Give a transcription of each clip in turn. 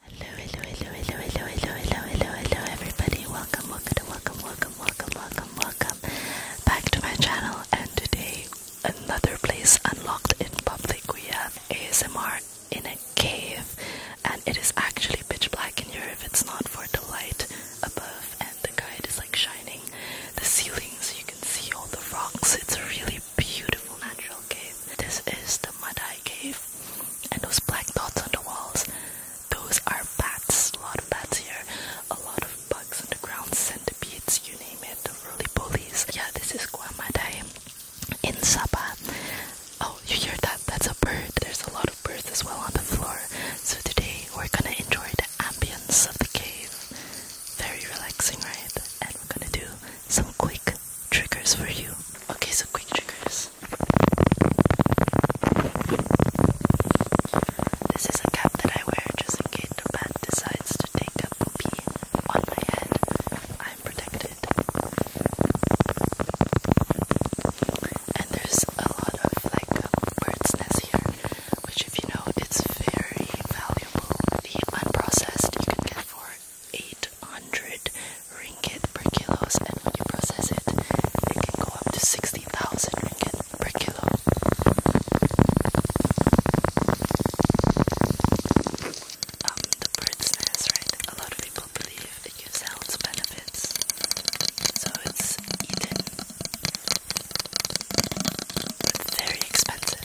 Hello, hello, hello, hello, hello, hello, hello, hello, hello, everybody. Welcome, welcome, welcome, welcome, welcome, welcome, welcome back to my channel. And today, another place unlocked in public. We have ASMR in a cave, and it is actually pitch black in here if it's not for the light above, and the guide is like shining the ceiling so you can see all the rocks. It's really, beautiful natural cave. This is the Madai cave, and those black dots on the walls, those are bats. A lot of bats here, a lot of bugs on the ground, centipedes, you name it, the roly polies. Yeah, this is Gua Madai in Sabah. Oh, you hear that? That's a bird. There's a lot of birds as well on the floor. So today we're gonna enjoy the ambience of the cave. Very relaxing, right? And we're gonna do some quick triggers for you. Okay, so quick triggers. This is a cap that I wear just in case the bat decides to take a poopy on my head. I'm protected. And there's a lot of like bird's nests here, which if you know, it's very valuable. The unprocessed you can get for 800 ringgit per kilo, and when you process it, it can go up to 60,000 ringgit per kilo. Um, the bird's nest, right? A lot of people believe it gives health benefits, so it's eaten, very expensive.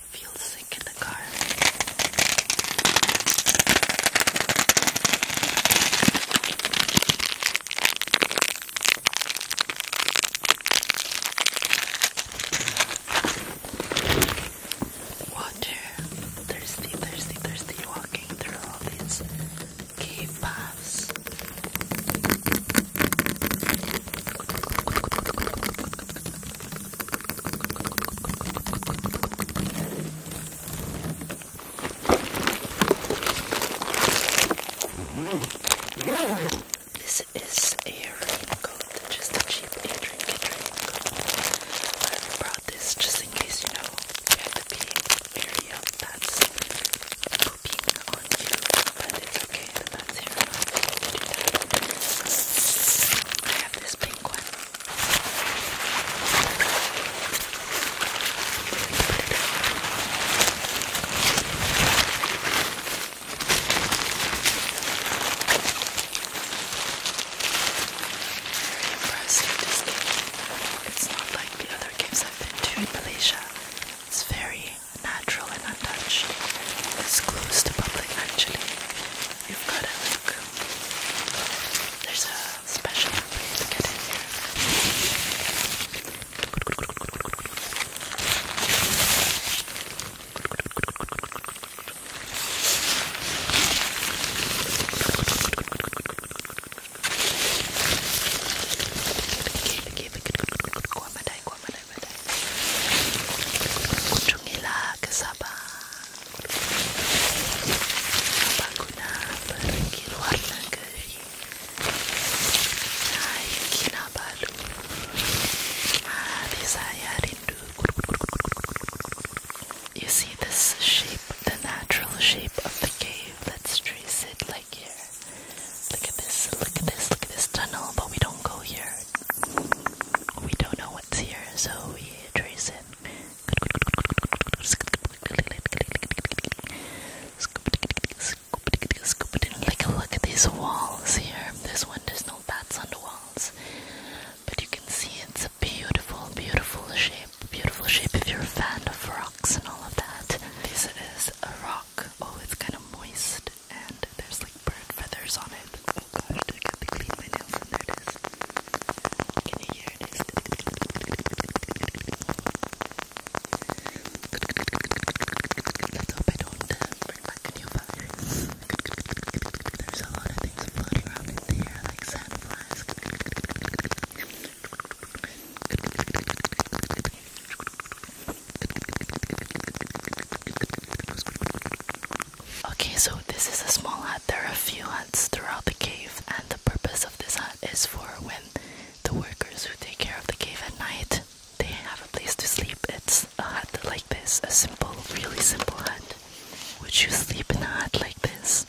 feel sick in the car. Water, thirsty, thirsty, thirsty, walking through all these cave paths. This is a raincoat, just a cheap a drinking raincoat. I brought this just in case you know you have to be very up that's pooping on you but it's okay. The nuts here I have this pink one. Very impressed with this gift. It's not like the other gifts I've been to in Malaysia. It's very natural and untouched is closed to public actually. You've gotta like there's a special way to get in here. You see this shape, the natural shape of the cave. Let's trace it like here. Look at this, look at this, look at this tunnel, but we don't go here. We don't know what's here, so we trace it. look at these walls here. This one, there's no bats on the walls. But you can see it's a beautiful, beautiful shape. Beautiful shape if you're a fan of rocks and all of that. This is a rock rock. Oh, it's kind of moist and there's like bird feathers on it. Oh gosh, I got to clean my nails and there it is. Can you hear this? Let's hope I don't uh, bring back a new virus. There's a lot of things floating around in the air, like sandflies. Okay, so this is a small hut. There are a few huts throughout the cave, and the purpose of this hut is for when the workers who take care of the cave at night they have a place to sleep. It's a hut like this, a simple, really simple hut. Would you sleep in a hut like this?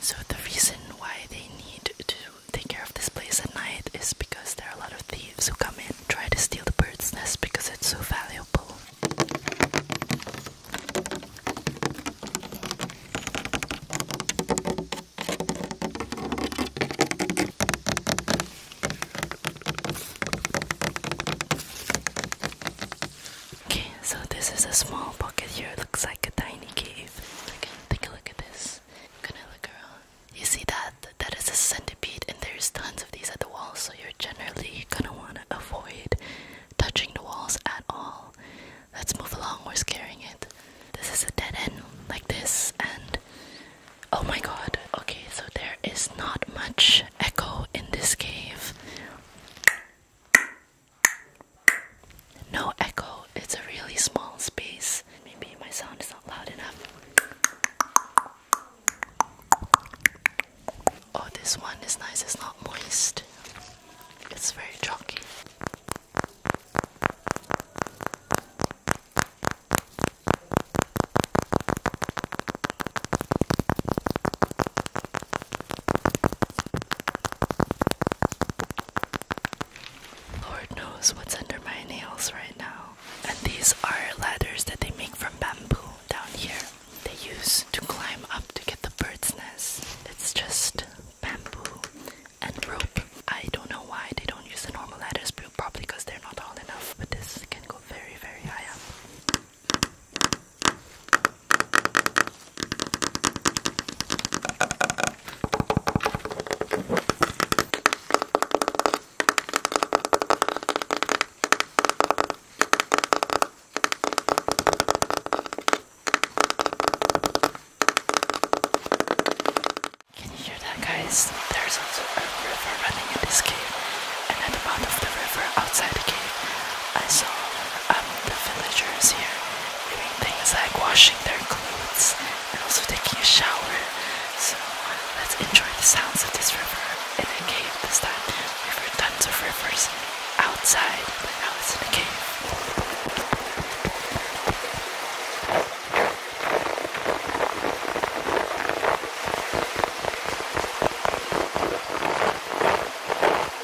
So the reason why they need to take care of this place at night is because there are a lot of thieves who come in try to steal the bird's nest because it's so valuable. Okay, so this is a small pocket here, looks like a tiny cave. take a look at this this. i You see that? That is a centipede, and there's tons of these at the walls, so you're generally gonna wanna avoid touching the walls at all. Let's move along, we're scaring it. This is a dead end, like this, and oh my god. Okay, so there is not much echo in this cave. No echo, it's a really small space. Maybe my sound is not loud enough. Oh, this one is nice, it's not moist, it's very chalky. Lord knows what's under my nails right now. And these are ladders that they make from bamboo down here. They use to climb up to get the bird's nest. It's just bamboo and rope. I don't know why they don't use the normal ladders, probably because they're not tall enough, but this can go very, very high up. Can you hear that, guys? There's also a river running in this cave, and at the bottom of the river outside the cave, I saw um, the villagers here doing things like washing their clothes and also taking a shower. So let's enjoy the sounds of this river in the cave this time. We've heard tons of rivers outside, but now it's in a cave.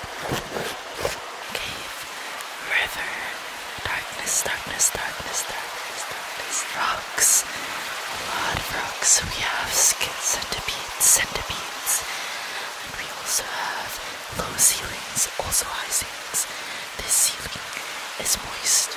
Cave, river, darkness, darkness, darkness, darkness, darkness, rocks, a lot of rocks. We have skits, centipedes, centipedes, and we also have low ceilings, also high ceilings. This ceiling is moist. It's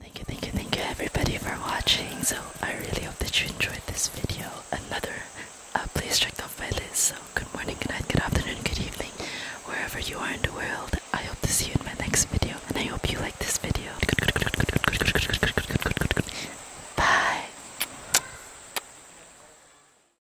Thank you, thank you, thank you everybody for watching. So I really hope that you enjoyed this video. Another uh, please check out my list. So good morning, good night, good afternoon, good evening, wherever you are in the world. I hope to see you in my next video, and I hope you like this video. Bye.